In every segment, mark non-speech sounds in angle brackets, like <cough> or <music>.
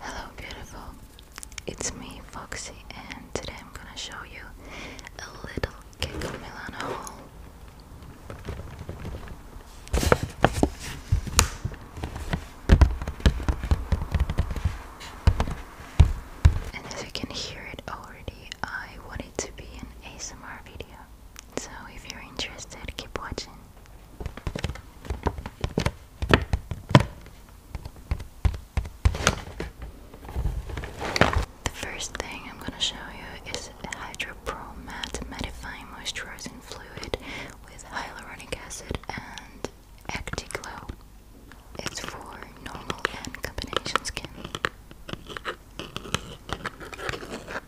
Hello beautiful, it's me Foxy and today I'm gonna show you a little Kiko Milano haul. And as you can hear it already, I want it to be an ASMR video. So if you're interested, keep watching. The first thing I'm going to show you is Hydropro Matte Mattifying Moisturizing Fluid with hyaluronic acid and Actiglow. It's for normal and combination skin.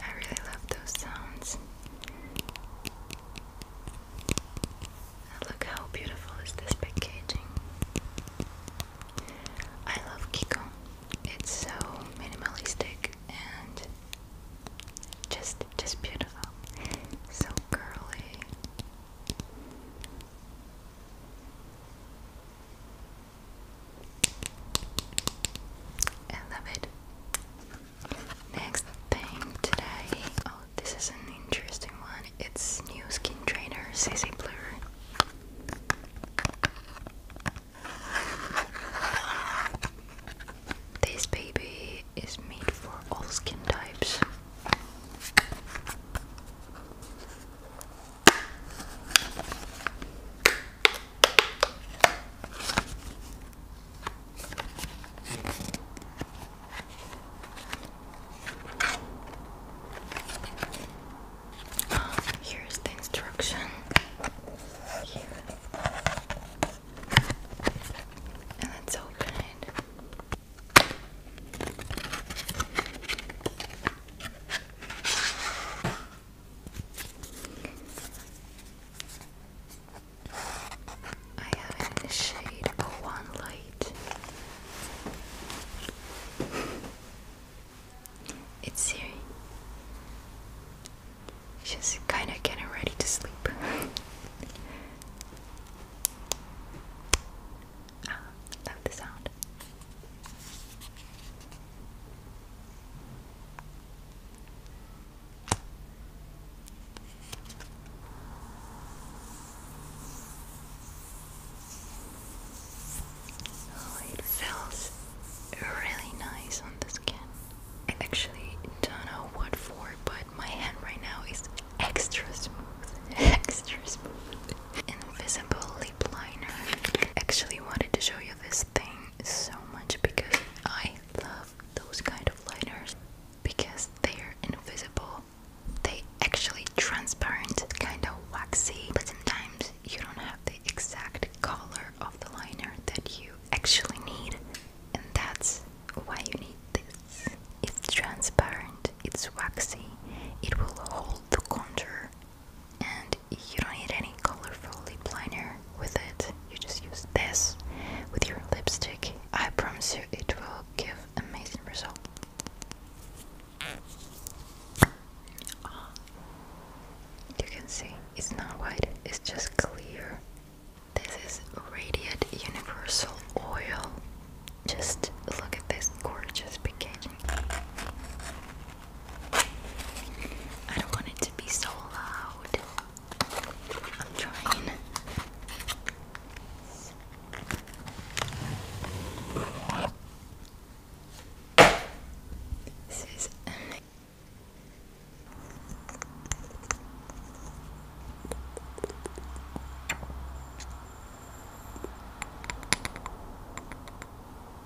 I really love those sounds. look how beautiful is this packaging. I love Kiko. It's so minimalistic and just just beautiful. So curly. I love it. Next thing today. Oh, this is an interesting one. It's new skin trainer CC Blur. This baby is made for all skin types. Here's the instruction. let's open it. I have it shade of one light. It's Siri. She's kind of getting ready to sleep. <laughs> Ah, love the sound. Oh, it feels really nice on the skin. I actually don't know what for, but my hand right now is extra smooth. <laughs> extra smooth. Invisible liner. Actually wanted to show you this thing so much because I love those kind of liners because they're invisible. They actually transparent, kind of waxy, but sometimes you don't have the exact color of the liner that you actually need. And that's why you need this. It's transparent, it's waxy, it will hold the contour and you don't need any colorful lip liner with it. You just use this with your lipstick. I promise you it will give amazing results. you can see it's not white, it's just clear. This is Radiant Universal Oil. Just look at this gorgeous packaging. I don't want it to be so loud. I'm trying. This is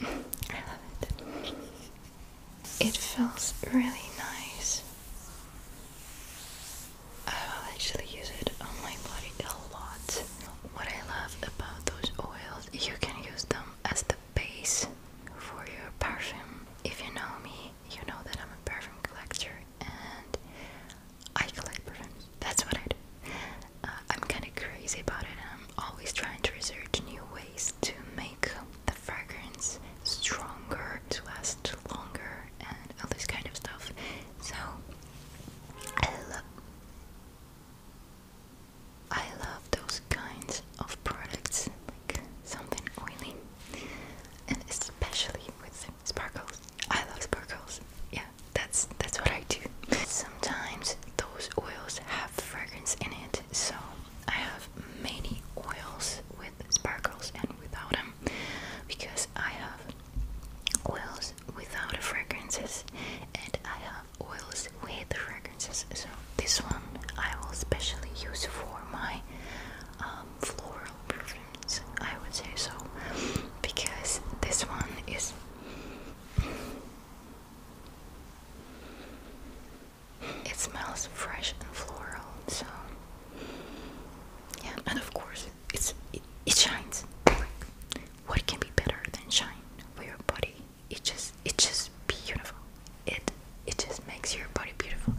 I love it. It feels really nice. I will actually use it on my body a lot. What I love about those oils, you can use them as the base for your perfume. If you know me, you know that I'm a perfume collector and I collect perfumes. That's what I do. Uh, I'm kind of crazy about it. I'm always trying to research new ways to make the fragrance stronger, to last longer, and all this kind of stuff. So, I love. I love those kinds of products, like something oily, and especially with sparkles. I love sparkles. Yeah, that's that's what I do. Sometimes those oils have fragrance in it, so I have many oils with sparkles and without them, because I have oils without fragrances, and I have oils with fragrances. So this one I will especially use for my um, floral perfumes. I would say so because this one is. It smells fresh and floral, so yeah, and of course it's it, it shines. Like, what can be better than shine for your body it just it's just beautiful. It it just makes your body beautiful.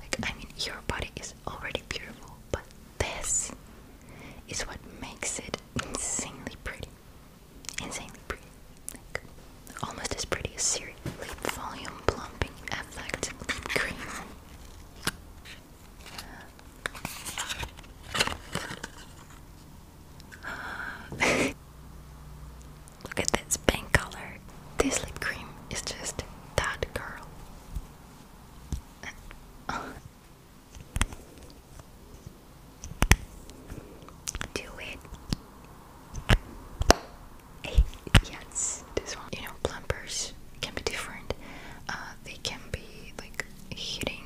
Like I mean your body is already beautiful, but this is what makes it insanely pretty. Insanely pretty. Like, almost as pretty as Siri. volume plumping effect lip cream. <laughs> Look at this pink color. This lip cream is just that girl. <laughs> Do it. yes, this one. You know, plumpers can be different. Uh, they can be like hitting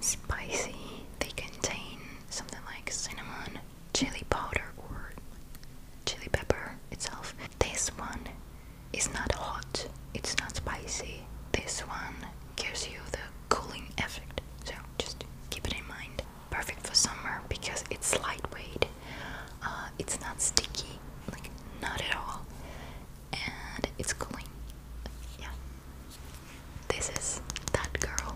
spicy. They contain something like cinnamon, chili powder, or chili pepper itself. This one is not hot, it's not spicy. This one gives you the cooling effect, so just keep it in mind. Perfect for summer because it's lightweight, uh, it's not sticky, like not at all, and it's cooling. Yeah. This is that girl,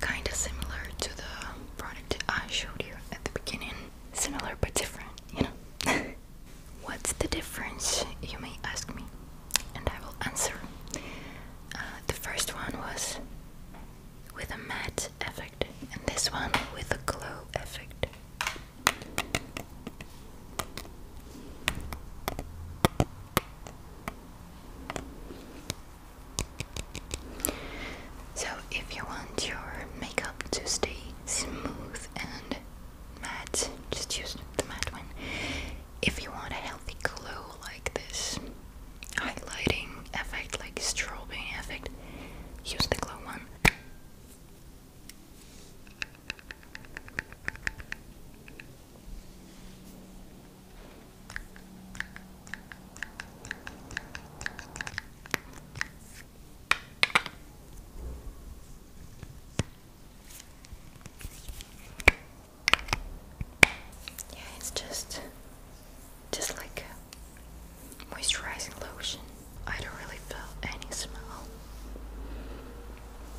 kind of similar to the product I showed you at the beginning. Similar but different, you know. <laughs> What's the difference, you may ask me, and I will answer. Uh, the first one was with a matte effect, and this one with a glow effect. So, if you want your makeup to stay smooth and matte, just use the matte one. If you want a healthy glow like this highlighting effect, like strobing effect, use the glow one. Yeah, it's just just like moisturizing lotion. I don't really feel any smell.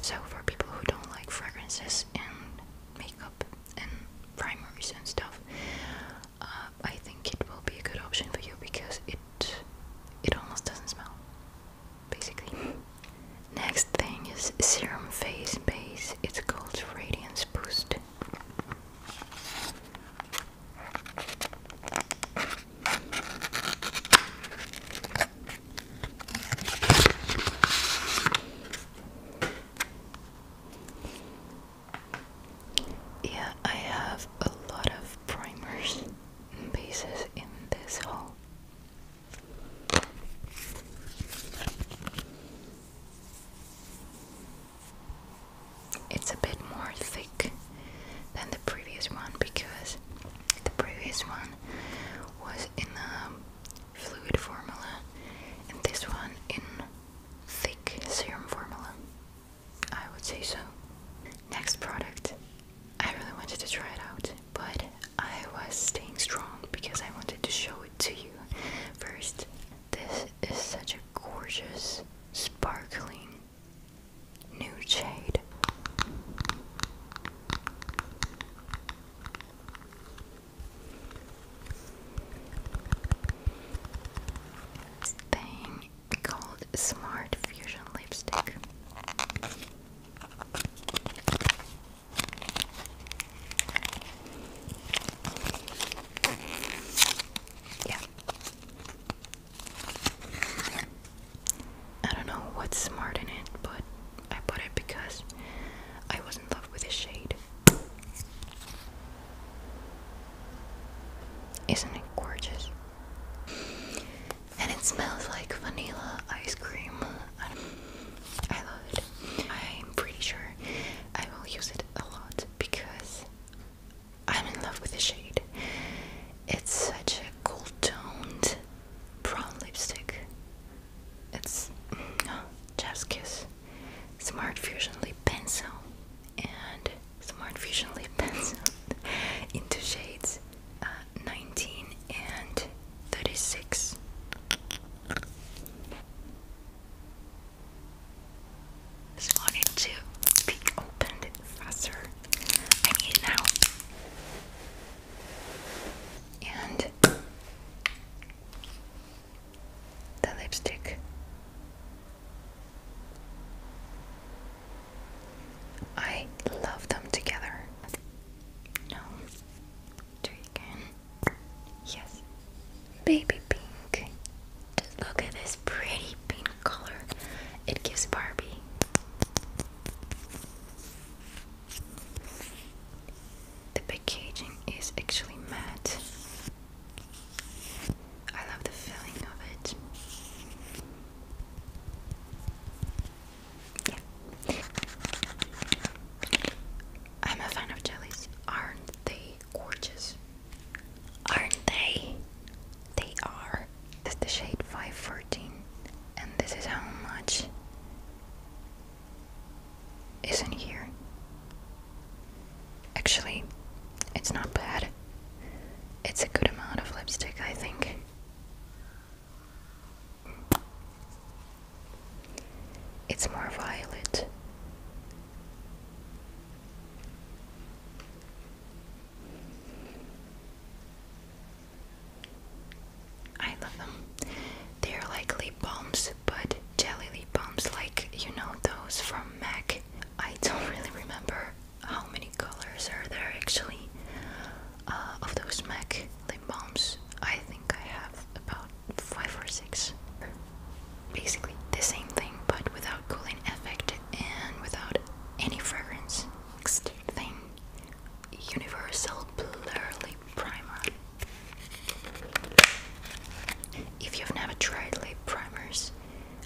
So for people who don't like fragrances and makeup and primers and stuff, uh, I think it will be a good option for you because it it almost doesn't smell, basically. Next thing is serum face base. It's called Radiance Boost. Yeah, I have a lot of primers and bases in this haul. It's a bit more thick than the previous one because the previous one was in the fluid formula and this one in thick serum formula. I would say so. Next product. I really wanted to try it out, but I was staying strong because I wanted to show it to you first. This is such a gorgeous, sparkling New shade. This thing called Smart Fusion Lipstick. Yeah. I don't know what's smart in it, but I put it because I was in love with the shade. Isn't it gorgeous? And it smells like vanilla ice cream. I, I love it. I'm pretty sure I will use it a lot because I'm in love with the shade. It's such a cool toned brown lipstick. It's oh, Smart Fusion Lip Pencil and Smart Fusion Lip Pencil <laughs> into shades uh, 19 and 36. Just wanted to be faster. I need it now. And the lipstick. I love them together. No. Do again. Yes. Baby pink. look at this pretty pink color. It gives Barbie. The packaging is actually matte. I love the feeling of it. I'm a fan of jellies. Aren't they gorgeous? Aren't they? they are. This is the shade 514, and this is how much is in here. Actually, it's not bad. It's a good amount of lipstick, I think. It's more violet. I love them. They're like lip balms, but jelly lip balms, like you know those from MAC. I don't <laughs> really remember how many colors are there actually uh, of those MAC lip balms. I think I have about five or six. Basically the same thing, but without cooling effect and without any fragrance. Next thing Universal Blurly Primer. If you've never tried lip primers,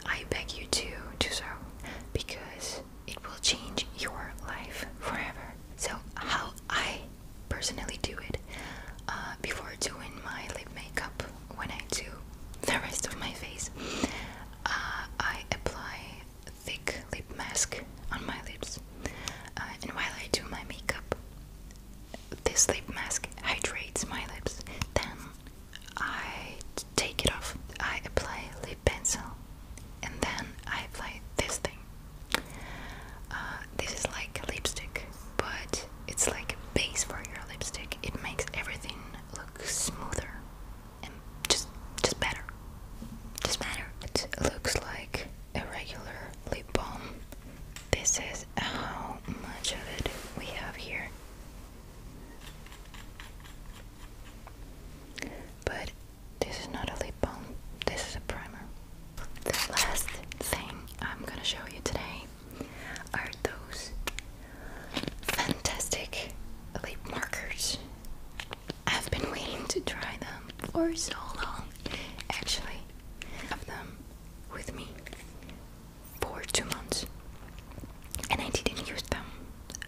I beg you to do so because it will change your life forever. So, how I personally do it uh, before doing my lip makeup when I do the rest of my face, uh, I apply thick lip mask on my lips. Uh, and while I do my makeup, this lip mask hydrates my lips. Then I take it off. I apply lip pencil, and then I apply this thing. Uh, this is like lipstick, but it's like base for your lipstick. It makes everything look smoother just just better. Just better. It looks like a regular lip balm. This is how much of it we have here. But this is not a lip balm, this is a primer. The last thing I'm gonna show you today are those fantastic lip markers. I've been waiting to try them for so long. Actually, have them with me for two months and I didn't use them.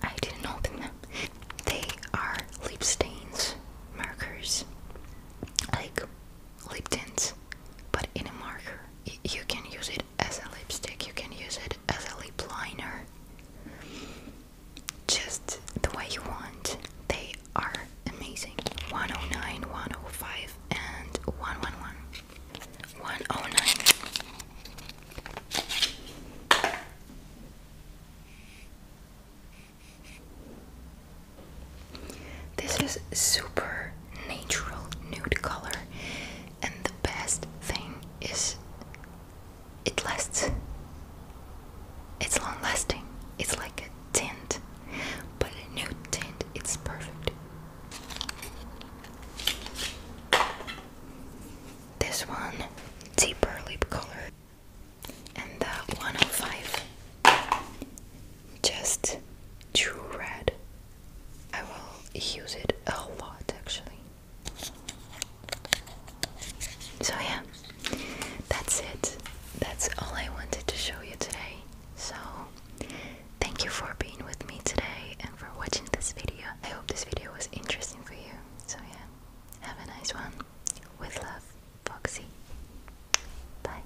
I didn't open them. They are lip stains markers. Like lip tints, but in a marker. you can use it as a lipstick, you can use it as a lip liner. Just the way you want. They are amazing. 109, 105, and 111. 109. This is super natural nude color and the best thing is it lasts. It's long lasting. It's like a tint, but a new tint, it's perfect. This one, deeper lip color, and the 105, just true red. I will use it a lot actually. So, yeah, that's it. That's all I wanted to show you today. So, thank you for being with me today and for watching this video. I hope this video was interesting for you. So, yeah, have a nice one. With love, Foxy. Bye.